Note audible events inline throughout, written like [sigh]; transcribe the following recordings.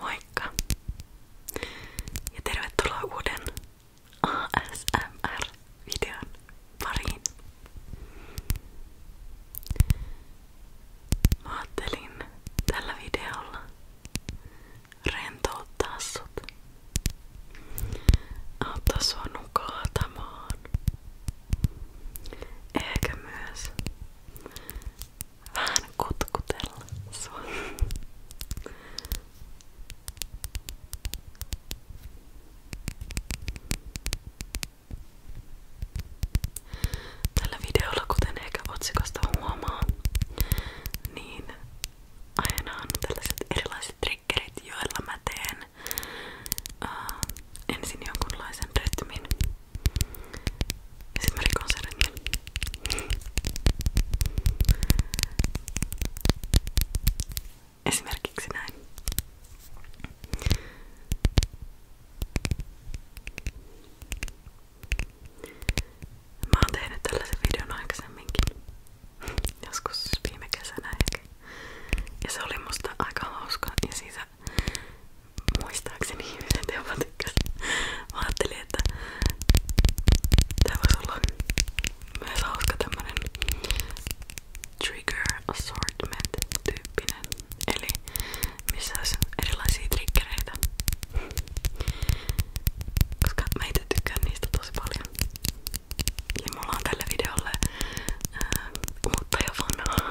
Moikka! Ja tervetuloa uuden ASMR-videon pariin. Mä ajattelin tällä videolla rentouttaa sut. Auttaa sua nukahtamaan. Ehkä myös vähän kutkutella sua. Tällä videolla, kuten ehkä otsikosta huomaa, niin aina on tällaiset erilaiset triggerit, joilla mä teen uh, ensin jonkunlaisen rytmin ja sit mä rikon sen rytmin. Esimerkiksi näin. Mä oon tehnyt tällaisen videon aikaisemminkin joskus viime kesänä ehkä. Ja se oli musta aika hauska ja siitä muistaakseni ihmiset jopa tykkäsivät. Mä ajattelin, että tää voisi olla myös hauska tämmönen trigger assortment tyyppinen. Eli missä olisi erilaisia triggereitä. Koska mä itse tykkään niistä tosi paljon. Ja mulla on tälle videolle ää, ähm, uutta ja vanhaa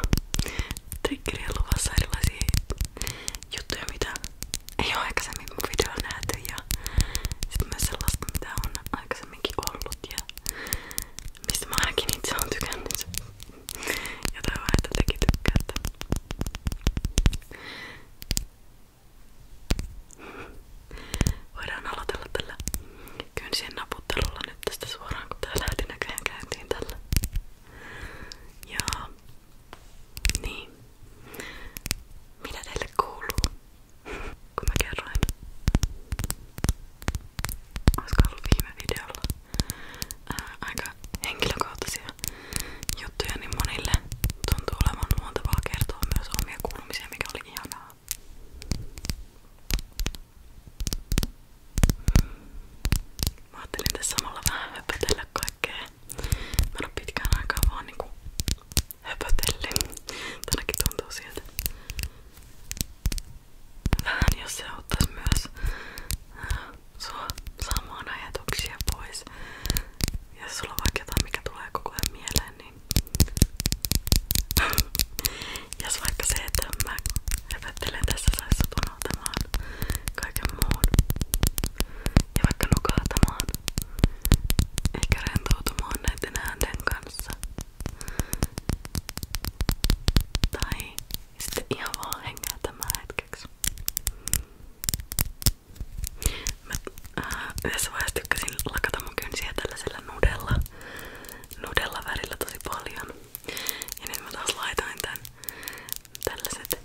triggeriä luvassa erilaisia juttuja, mitä ei ole aikaisemmin mun videolla nähty ja sitten myös sellaista, mitä on aikaisemminkin ollut ja mistä mä ainakin itse oon tykännyt ja toivon, että tekin tykkäätte. Voidaan aloitella tällä kynsien naputtelulla nyt tästä suoraan, kun tää lähti näköjään käyntiin tällä. Ja niin. Mitä teille kuuluu? Kun mä kerroin. Olisiko ollut viime videolla ää, aika henkilökohtaisia juttuja, niin monille tuntuu olevan luontevaa kertoa myös omia kuulumisia, mikä oli ihanaa. Mä ajattelin tässä samalla vähän höpötellä kaikkea. Mä en oo pitkään aikaa vaan niinku Tänäkin tuntuu siltä. Vähän jos se myös äh, sua saamaan ajatuksia pois. Ja jos sulla on vaikka jotain, mikä tulee koko ajan mieleen, niin [laughs] Jos vaikka se, että mä höpöttelen tässä saisi sut unohtamaan kaiken muun ja vaikka nukahtamaan eikä rentoutumaan näiden äänten kanssa tai sitten ihan vaan hengää tämän hetkeksi. Mä äh, yhdessä vaiheessa tykkäsin lakata mun kynsiä tällaisella nudella, nudella värillä tosi paljon. Ja nyt mä taas laitoin tän tällaiset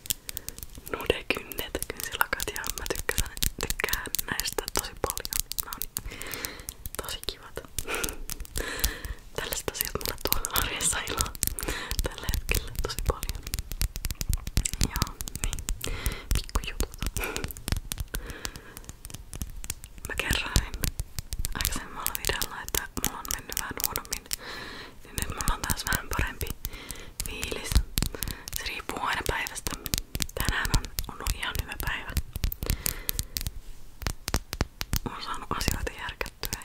nudekynnet, kynsilakat ja mä tykkään, tykkään näistä tosi paljon. Mä on tosi kivat. [laughs] Tällaiset asiat mulle tuolla arjessa iloa tällä hetkellä tosi paljon. Joo, niin pikkujutut. Mä kerroin aikaisemmalla videolla, että mulla on mennyt vähän huonommin. Ja nyt mulla on taas vähän parempi fiilis. Se riippuu aina päivästä. Tänään on ollut ihan hyvä päivä. Olen saanut asioita järkättyä.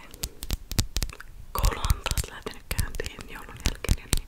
Koulu on taas lähtenyt käyntiin joulun jälkeen. Niin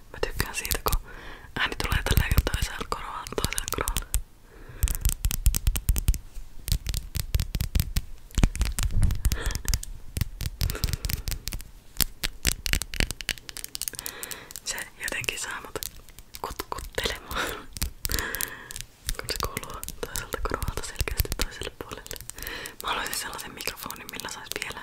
Mä tykkään siitä, kun ääni tulee tälleen toiselta korvalta, toiselta korvalta. Se jotenkin saa mut kutkuttelemaan, kun se kuuluu toiselta korvalta selkeästi toiselle puolelle. Mä haluaisin sellaisen mikrofonin, millä saisi vielä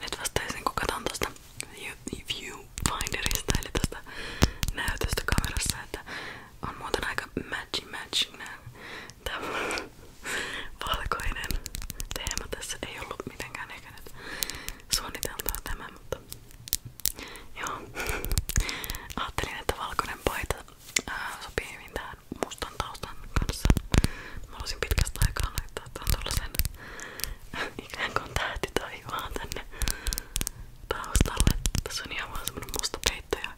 Nyt vasta sen kun katon tosta viewfinderista eli tosta näytöstä kamerassa, että on muuten aika matchy matching nää. Tää valkoinen teema tässä ei ollut mitenkään ehkä nyt suunniteltua tämä, mutta joo. Ajattelin, että valkoinen paita ää, sopii hyvin tähän mustan taustan kanssa. Mä olisin pitkästä aikaa laittaa tuon tuollaisen [laughs] ikään kuin tähtitaivaan tänne taustalle. Tässä on ihan vaan semmonen musta peitto ja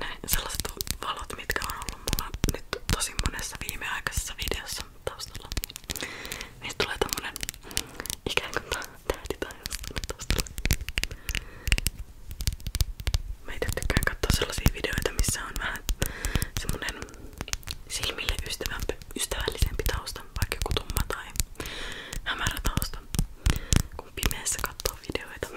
näin sellaiset valot, mitkä on ollut mulla nyt tosi monessa viimeaikaisessa videossa taustalla. Niistä tulee tommonen ikään kuin tähtitaivas taustalla. Mä itse tykkään katsoa sellaisia videoita, missä on vähän semmonen silmille ystävällisempi tausta, vaikka joku tumma tai hämärä tausta, kun pimeässä katsoo videoita.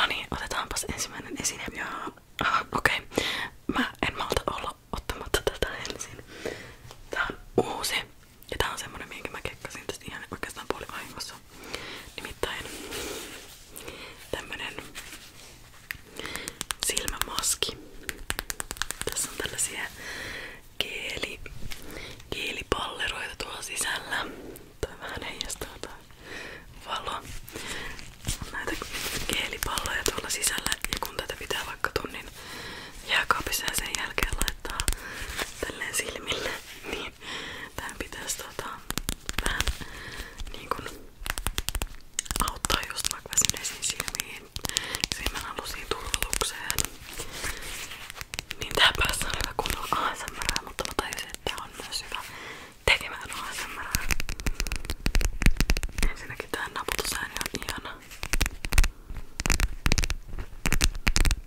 No niin, otetaanpas ensimmäinen esine. Ja, aha, okei. Okay. en malta olla ottamatta tätä ensin. Tää on ja tää on semmonen, minkä mä kekkasin tästä ihan oikeastaan puolivahingossa. Nimittäin tämmönen silmämaski. Tässä on tällaisia geeli, geelipalleroita tuolla sisällä. Toi vähän heijastaa toi valo. On näitä geelipalloja tuolla sisällä ja kun tätä pitää vaikka tunnin jääkaapissa ja sen jälkeen laittaa tälleen silmille, [laughs] niin tämän pitäisi tota, vähän niin kun, auttaa just vaikka väsyneisiin silmiin, silmän alusiin turvalukseen. Niin tää päässä on hyvä kunnon ASMR, mutta mä tajusin, että tää on myös hyvä tekemään ASMR. Ensinnäkin tää naputusääni on ihana.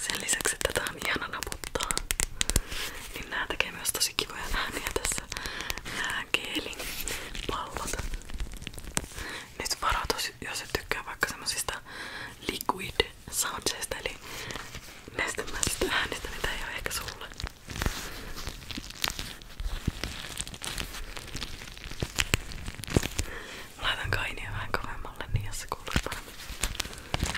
Sen lisäksi, että tää on ihana naputtaa, niin nää tekee myös tosi kivoja ääniä tässä. Nää geelin pallot. Nyt varoitus, jos et tykkää vaikka semmosista liquid soundseista, eli nestemäisistä äänistä, niin tää ei oo ehkä sulle. Laitan kainia vähän kovemmalle, niin jos se kuuluu paremmin.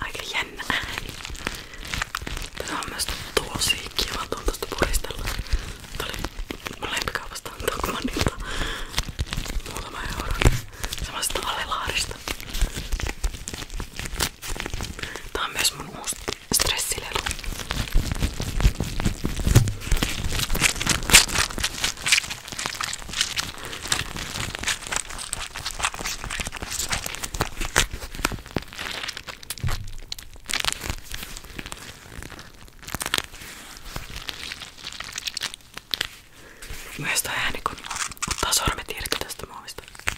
Aika jännä ääni. Tätä on myös tosi kiva tuosta puristella. Tää oli mun lempikaupasta Tokmanilta. Muutama euro. Semmoisesta alelaarista. Tää on myös mun uusi stressilelu. Myös tää ääni kun ottaa sormet irti tästä muovista.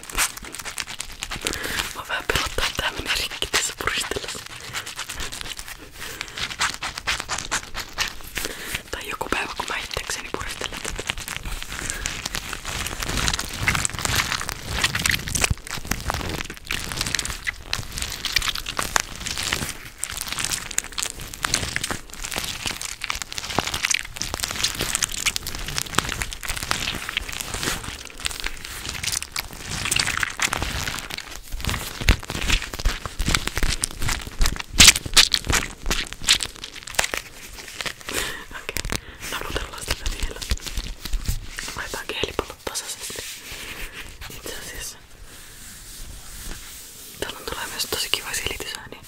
Mä vähän pelottaa, että tää menee rikki tässä puristellessa. Tai joku päivä, kun mä itsekseni puristelen tätä. Okei, naputellaan tätä vielä. Laitetaan kehlipallot tasaisesti. Itse asiassa. Täällä on tulee myös tosi kiva silitysääni.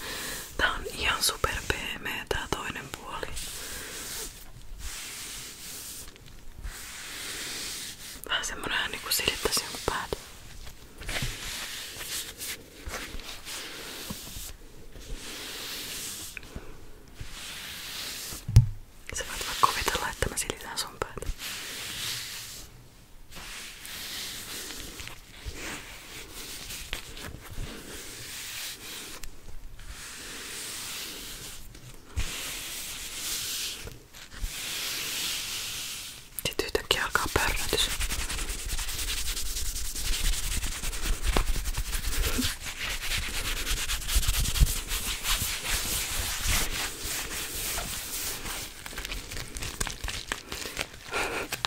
Tää on ihan super pehmeä tää toinen puoli. Vähän semmonen ääni kun silittäisi jonkun päätä. Sä voit vaan kuvitella, että mä silitän sun päätä. Sitten yhtäkkiä alkaa pörrötys. [laughs]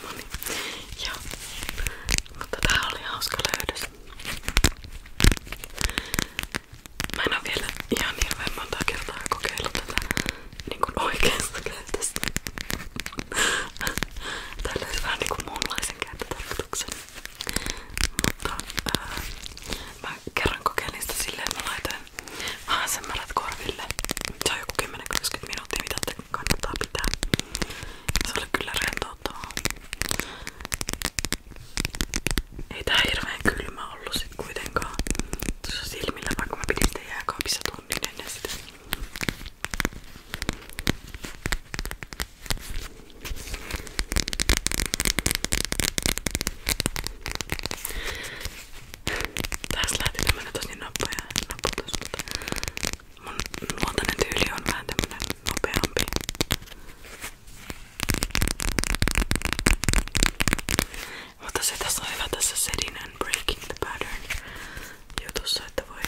No niin. Joo. Mutta tää oli hauska löydös. Mä en oo vielä ihan hirveen monta kertaa kokeillut tätä niin kuin oikeasta käytöstä. Täällä on vähän niin kuin muunlaisen käyttötarkoituksen. Mutta ää, mä kerran kokeilin sitä silleen, että mä laitoin ASMRt korville. Se on joku 10-20 minuuttia, mitä te kannattaa pitää. Se oli kyllä rentouttavaa. Ei tää hirveen kylmä ollut sit kuitenkaan tuossa silmillä, vaikka mä pidin sitä jääkaapissa tunnin ennen sitä. Tässä lähti tämmönen tosi nappoja naputus, mutta Mun luontainen tyyli on vähän tämmönen nopeampi. Mutta se tässä on hyvä tässä setting and breaking the pattern jutussa, että voi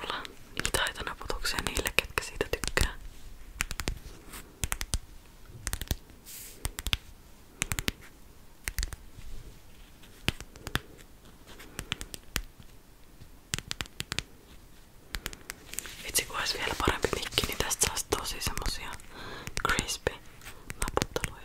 olla niitä haitanaputuksia niille, ketkä siitä tykkää. Vitsi kun olisi vielä parempi mikki, niin tästä saisi tosi semmosia crispy naputteluja.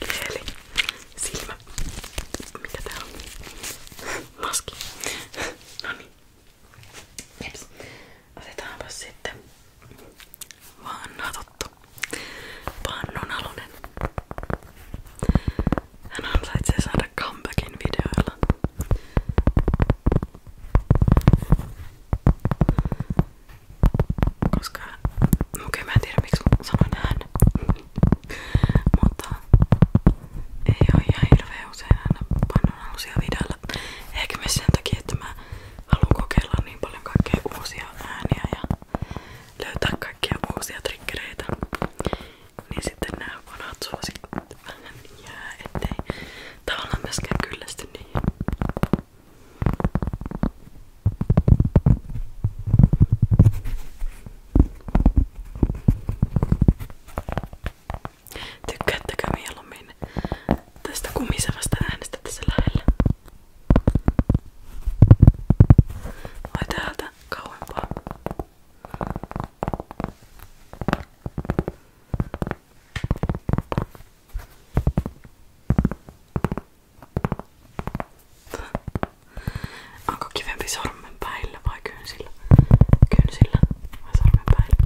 Leeli. Silmä. Mikä tää on? Maski. No niin. Jeps. Otetaanpas sitten vanha tuttu. Pannun alunen. Hän ansaitsee saada comebackin videoilla. Koska okei okay, mä en tiedä miksi sanoin hän. Mutta ei oo ihan hirveä usein aina pannaan uusia videoilla. Ehkä myös sen takia, että mä haluan kokeilla niin paljon kaikkea uusia ääniä ja löytää kaikkia uusia triggereitä. Niin sitten nämä vanhat suosikit vähän jää, ettei tavallaan myöskään kyllästy niihin. Tykkäättekö mieluummin tästä kumisevasta äänestä tässä lähellä? Vai täältä kauempaa? Onko kivempi sormenpäillä vai kynsillä? Kynsillä vai sormenpäillä?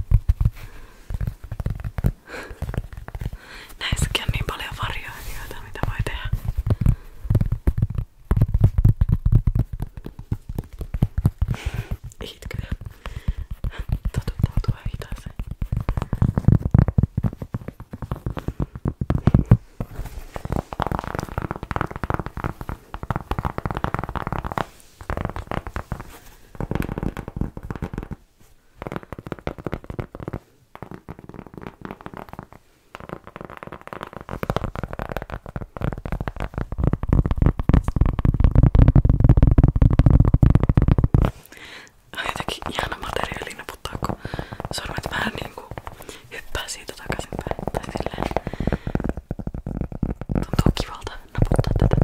Näissäkin on niin paljon varjoilijoita, mitä voi tehdä. Itkeä. Totuttautua hitaaseen. On jotenkin ihana materiaali naputtaa, kun sormet vähän niinku hyppää siitä takaisinpäin. Tai silleen. Tuntuu kivalta naputtaa tätä.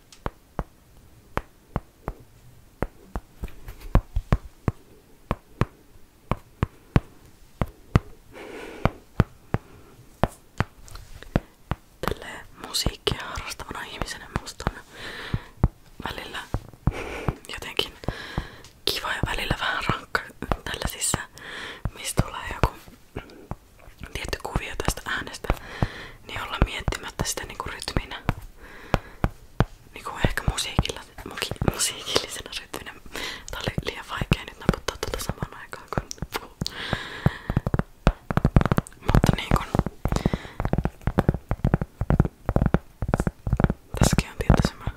Okei, Tälleen musiikkia harrastavana ihmisenä musta on välillä jotenkin kiva ja välillä vähän rankka tällaisissa, mistä tulee joku tietty kuvio tästä äänestä, niin olla miettimättä sitä niinku rytminä. Niinku ehkä musiikilla, muki, musiikillisena rytminä. Tää oli liian vaikea nyt naputtaa tuota samaan aikaan kun puhuu. Mutta niinku... Tässäkin on tietty semmonen...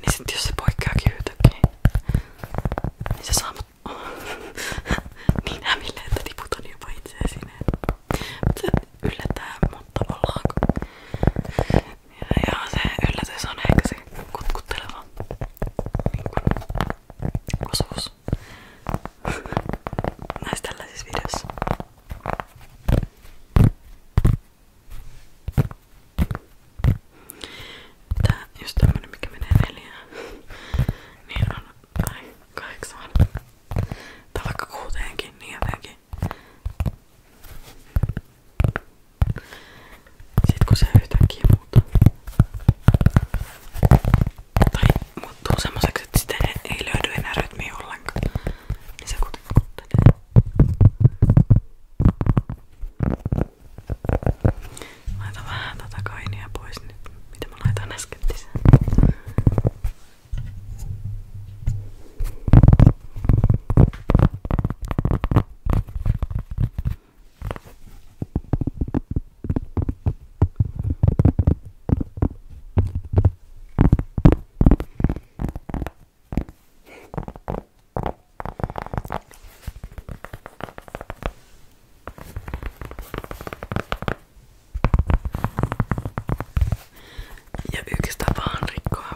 Niin sit jos se poikkeakin yhtäkkiä, niin se saa mut [laughs] niin hämille, että tiputan jopa itseä sinne. Se yllättää mut tavallaan. Ja, ja se yllätys on ehkä se kutkutteleva niin kun, osuus [laughs] näissä tällaisissa videoissa. Tää just tämmönen mikä menee neljään. niin on, tai kahdeksaan. Tai vaikka kuuteenkin, niin jotenkin. Sitten kun se yhtäkkiä muuttuu. Tai muuttuu semmoiseksi, että sitä ei löydy enää rytmiä ollenkaan. Niin se kuitenkin kuttelee. Laita vähän tätä kainia pois nyt, niin mitä mä laitan äsken lisää. Ja yksi tapa on rikkoa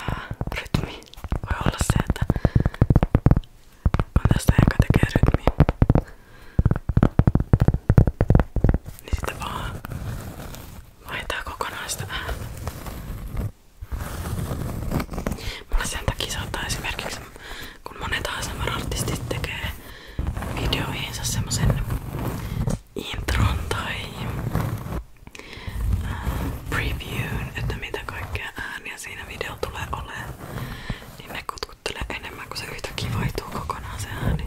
ää, rytmi. Voi olla se, että on tästä joka tekee rytmiä. Niin sitten vaan vaihtaa kokonaan sitä ääntä. Mulla sen takia saattaa esimerkiksi kun monet ASMR-artistit tekee videoihinsa semmosen intron tai previewn, että mitä kaikkea ääniä siinä video tulee olemaan, niin ne kutkuttelee enemmän kuin se yhtäkkiä vaihtuu kokonaan se ääni.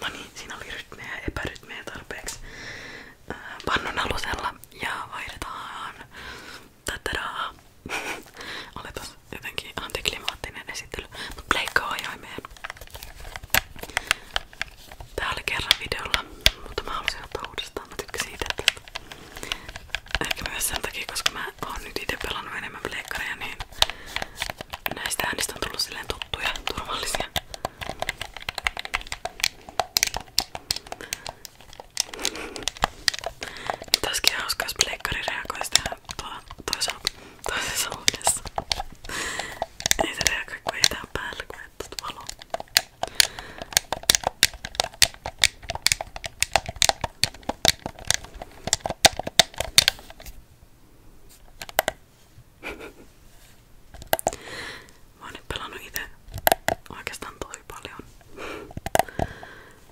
No niin, siinä oli rytmejä ja epärytmejä tarpeeksi pannun alusella ja vaihdetaan tätä [laughs] Oli tos jotenkin antiklimaattinen esittely, mutta leikkaa ajoimeen. Tää oli kerran videolla, mutta mä halusin ottaa uudestaan. Mä tykkäsin ite tästä. Ehkä myös sen nyt ite pelannut enemmän pleikkareja, niin näistä äänistä on tullut silleen tuttuja, turvallisia. Nyt olisikin hauska, jos pleikkari reagoisi tähän toisessa huoneessa. Ei se reagoi, kun ei tää päällä, kun ei tuota valoa. Mä oon nyt pelannut itse oikeastaan tosi paljon.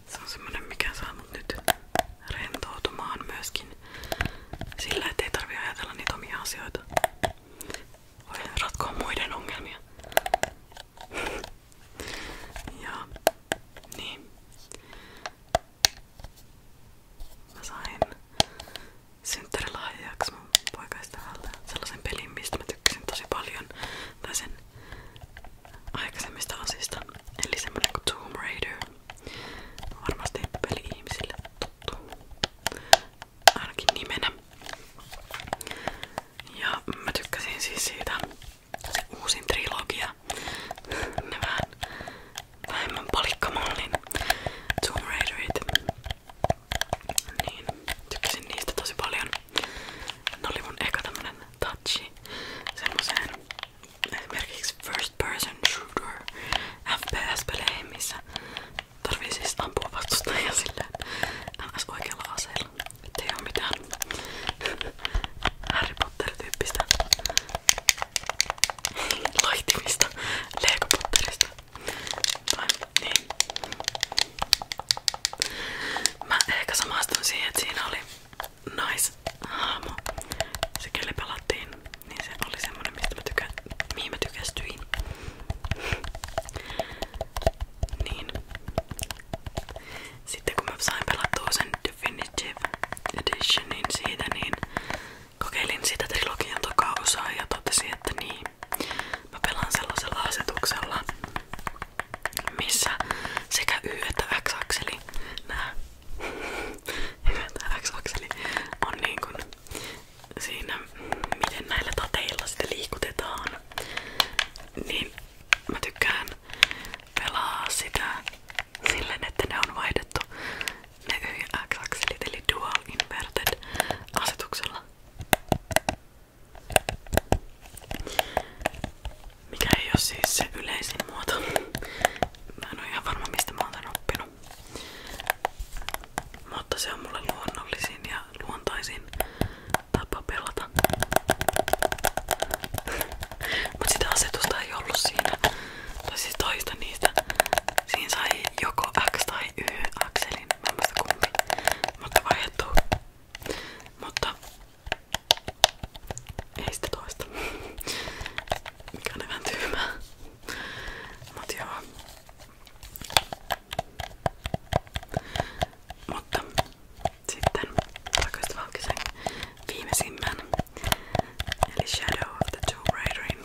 Se on semmonen mikä saa mut nyt rentoutumaan myöskin sillä, ettei tarvi ajatella niitä omia asioita. Voi ratkoa muiden ongelmia. Ja niin. Mä sain synttärilahjaksi mun poikaystävältä sellaisen pelin, mistä mä tykkäsin tosi paljon. Tai sen aikaisemmista osista. Eli semmonen kuin Tomb Raider. Varmasti peli ihmisille tuttu. Ainakin nimenä. Ja mä tykkäsin siis siitä se uusin trilogia. ne [laughs] vähän vähemmän palikkamallin Tomb Raiderit. Niin, tykkäsin niistä tosi paljon. Ne oli mun eka tämmönen touchi semmoseen esimerkiksi first person shooter FPS-peleihin, missä tarvii siis ampua vastustajia silleen ns oikealla aseella. Ettei oo mitään Harry Potter-tyyppistä loihtimista [laughs] Lego Potterista. Tai, niin. Mä ehkä samastun siihen, että siinä oli naishahmo. Se kelle pelattiin, niin se oli semmonen mistä mä tykä, mihin mä tykästyin. niin. Sitten kun mä sain pelattua sen Definitive Editionin siitä, niin kokeilin sitä trilogian toka osaa ja totesin, että niin. Mä pelaan sellaisella asetuksella, missä sekä Y että X-akseli nää Y [laughs] että X-akseli on niin kuin siinä, miten näillä tateilla sitä liikutetaan. Niin mä tykkään pelaa sitä silleen, että ne on vaihdettu ne YX-akselit eli Dual Inverted asetuksella. Mikä ei ole siis se yleisin muoto. Mä en oo ihan varma mistä mä oon tän oppinut. Mutta se on mulle luonnollisin ja luontaisin tapa pelata. [laughs] Mut sitä asetusta ei ollut siinä tai siis toista niistä. Siinä sai joko X tai Y akselin. Mä en muista kumpi. Mutta vaihtuu. Mutta ei sitä toista. Mikä on vähän tyhmää. Mut joo. Mutta sitten takaisin valkisen viimeisimmän eli Shadow of the Tomb Raiderin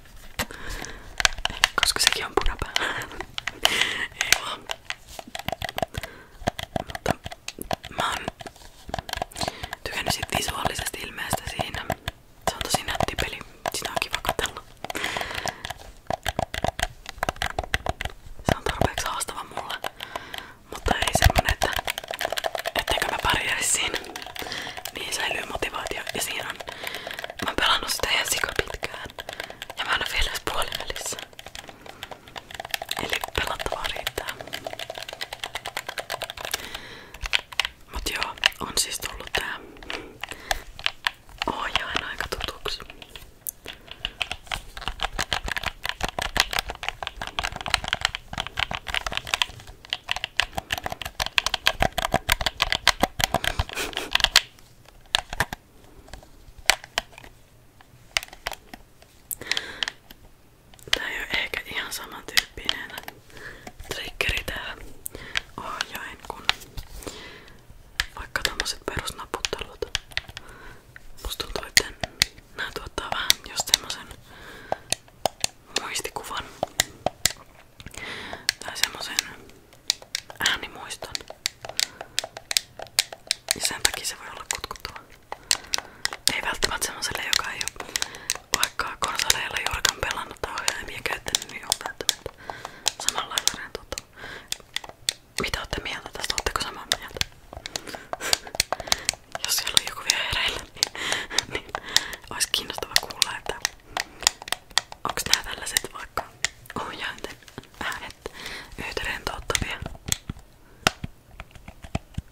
Koska sekin on punapää. Ei vaan. Mutta mä oon tykännyt sit visuaalisesti ilmeestä siinä. Se on tosi nätti peli. Sitä on kiva katella. Se on tarpeeksi haastava mulle. Mutta ei semmonen, että etteikö mä pärjäisi siinä. Niin säilyy motivaatio ja siinä on. Mä oon pelannut sitä ihan sika pitkään. Ja mä en ole vielä puolen välissä. Eli pelattavaa riittää. Mut joo, on siis tullut tää ohjaan aika tutuksi. Tää ei oo ehkä ihan samantyyppinen triggeri tää ohjain kun vaikka tommoset perusnaputtelut. Musta tuntuu, että nää tuottaa vähän just semmosen muistikuvan tai semmosen äänimuiston. Ja sen takia se voi olla kutkuttava. Ei välttämättä semmoselle, joka ei oo vaikka konsoleilla juurikaan pelannut tai ohjaimia käyttänyt, niin on välttämättä samalla lailla rentuuttava. Mitä ootte mieltä tästä? Ootteko samaa mieltä? [laughs] Jos siellä on joku vielä hereillä, niin, niin olisi kiinnostava kuulla, että Onks nää tällaiset vaikka ohjainten äänet yhtä rentouttavia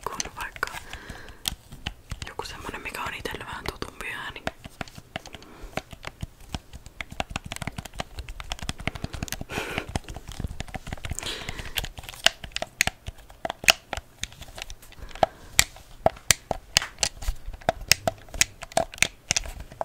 kuin vaikka joku semmonen mikä on itselle vähän tutumpi ääni?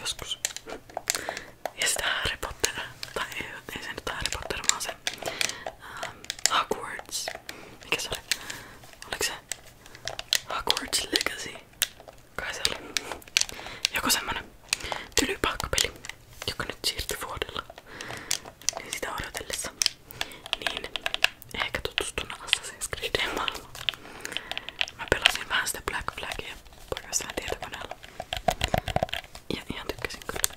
joskus. Ja sitä tai ei, ei se ähm, Hogwarts. Mikä se oli? Oliko Hogwarts Legacy? Kai se oli. Joku semmonen tylypahkapeli, joka nyt siirtyi vuodella. Niin sitä odotellessa. Niin ehkä tutustun Assassin's Creedin maailmaan. Mä pelasin vähän sitä Black Flagia porrastaan tietokoneella. Ja ihan tykkäsin kyllä.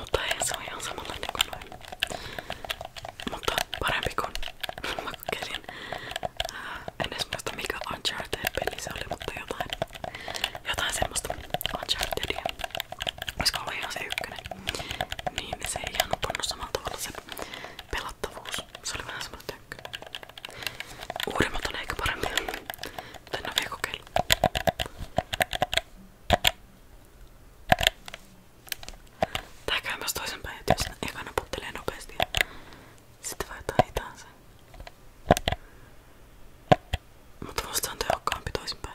Mutta ei se on ihan samanlainen kuin noin. Mutta parempi kuin [laughs] mä kokeilin. En edes muista mikä Uncharted-peli se oli, mutta jotain, jotain semmoista Unchartedia. Olisiko ollut ihan se ykkönen? Niin, niin, se ei ihan uponnut samalla tavalla se pelattavuus. Se oli vähän semmoinen tönkkö. Uudemmat on ehkä parempia. Mutta en ole vielä kokeillut. Tää käy myös toisenpäin, että jos ekana puttelee nopeasti ja sitten vaihtaa hitaan sen. Mutta musta on tehokkaampi toisinpäin.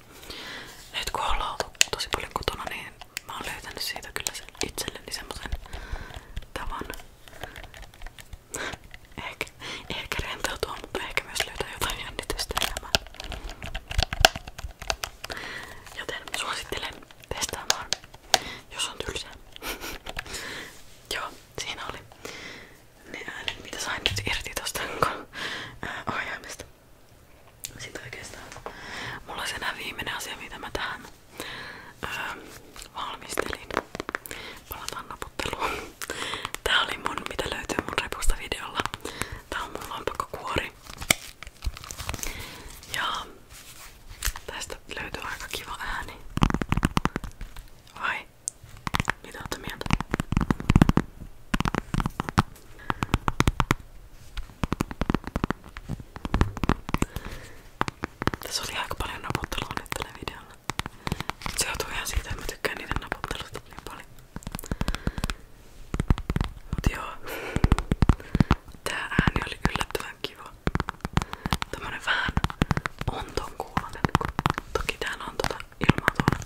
Nyt kun ollaan oltu tosi paljon kotona, niin mä oon löytänyt siitä kyllä sen itselleni semmoisen tavan ehkä, ehkä rentoutua, mutta ehkä myös löytää jotain jännitystä elämään. Joten suosittelen testaamaan, jos on tylsää. [laughs] Joo, siinä oli ne äänet, mitä sain nyt irti tosta ohjaimesta. Sit oikeastaan mulla on enää viimeinen asia mitä mä tähän öö, valmistelin. Palataan naputteluun. [laughs] Tää oli mun mitä löytyy mun repusta videolla. Tää on mun lompakkokuori. Ja tästä löytyy aika kiva ääni. Vai? Mitä ootte mieltä? Tässä oli aika paljon naputtelua nyt tällä videolla. Se johtuu ihan siitä, että mä tykkään niiden naputtelusta niin paljon. Mut joo. Tää ääni oli yllättävän kiva. Tämmönen vähän onton kuulonen, kun toki täällä on tota ilmaa tuolla.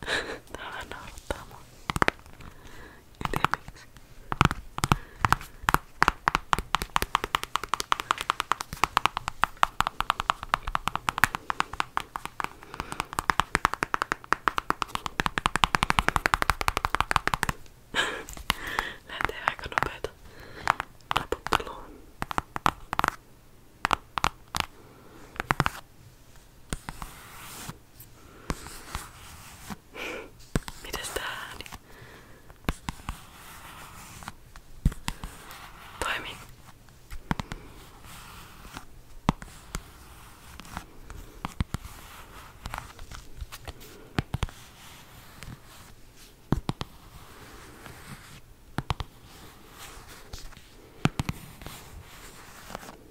Tää vähän naurattaa mua. En tiedä miksi. Lähtee aika nopeeta naputteluun. Mites tää ääni? Toimi.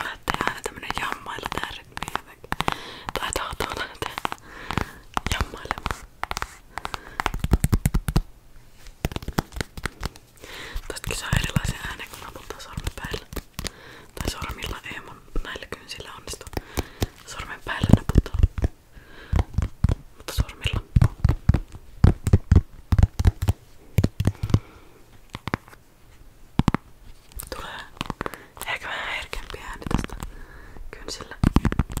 Olette aina tämmönen jammailu tärkeä. Tai tahtoon lähteä jammailemaan. Tästäkin saa erilaisia ääniä, kun naputtaa sormen päällä. Tai sormilla ei, näillä kynsillä onnistu. Sormen päällä naputtaa mutta sormilla. Tulee ehkä vähän herkempi ääni tästä kynsillä. Okei,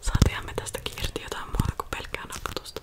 Saatiinhan me tästäkin irti jotain muuta kuin pelkkää nakkatusta.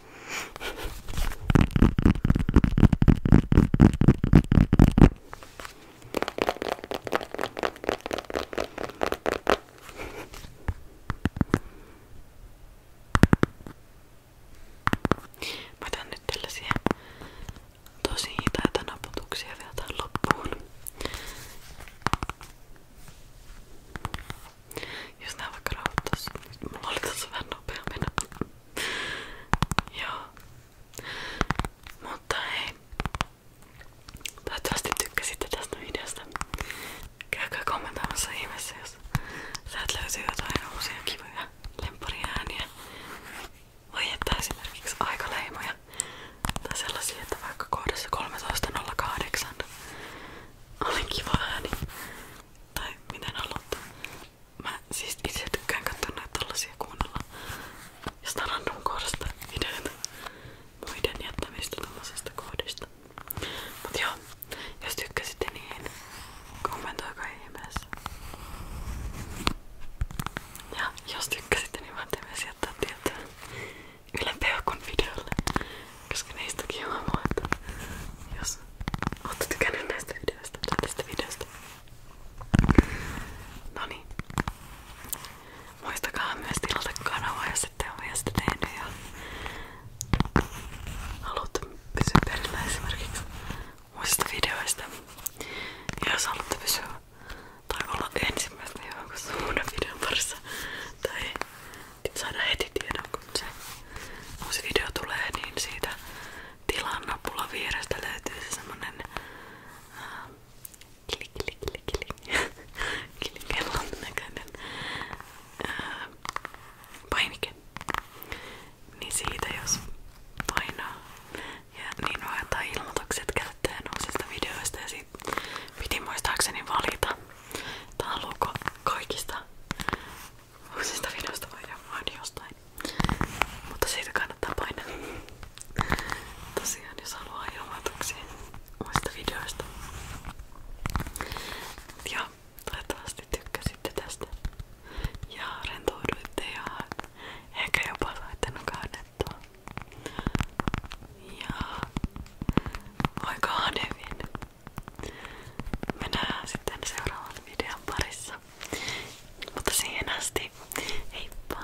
Mä otan nyt tällaisia tosi hitaita naputuksia vielä tähän loppuun. Jos nää vaikka rauhoittais, niin mulla oli tossa vähän nopea mennä. Joo. Mutta hei. Toivottavasti tykkäsitte tästä videosta. Käykää kommentoimassa ihmeessä, jos sieltä löytyy jotain uusia kivoja lemppariääniä. Voi että esimerkiksi aikaleimoja. Tai sellaisia, että vaikka kohdassa 13.08 oli kiva ääni. Tai miten aloittaa? Mä siis itse tykkään katsoa näitä tällaisia kuunnella jostain random kohdasta videoita muiden jättämistä tällaisesta kohdista. Mut joo, jos tykkäsitte niin kommentoikaa ihmeessä. Ja jos tykkäsitte niin voitte myös jättää tietää Yle Peukun videolle koska niistäkin on luettu. Jos ootte tykännyt näistä videoista tai tästä videosta. Noniin. Muistakaa myös tilata kanavaa, jos ette ole vielä sitä tehnyt ja haluatte pysyä perillä esimerkiksi muista videoista. Ja jos haluatte pysyä tai olla ensimmäistä jonkun uuden videon parissa tai Pit saada heti tiedon, kun se uusi video tulee, niin siitä tilan nappula vierestä löytyy se semmonen äh, kili kili kili kili [laughs] kilikellon näköinen äh, painike. Niin siitä jos painaa ja niin voi antaa ilmoitukset käyttäjän uusista videoista ja siitä piti muistaakseni valita Tää on luku kaikista uusista videoista vaan jostain. Mutta siitä kannattaa painaa. Tosiaan jos haluaa ilmoituksia uusista videoista. Ja toivottavasti tykkäsitte tästä. Ja rentouduitte ja ehkä jopa saitte nukannettua. Ja moikka Hanevin! Me nähdään sitten seuraavan videon parissa. Mutta siihen asti, heippa!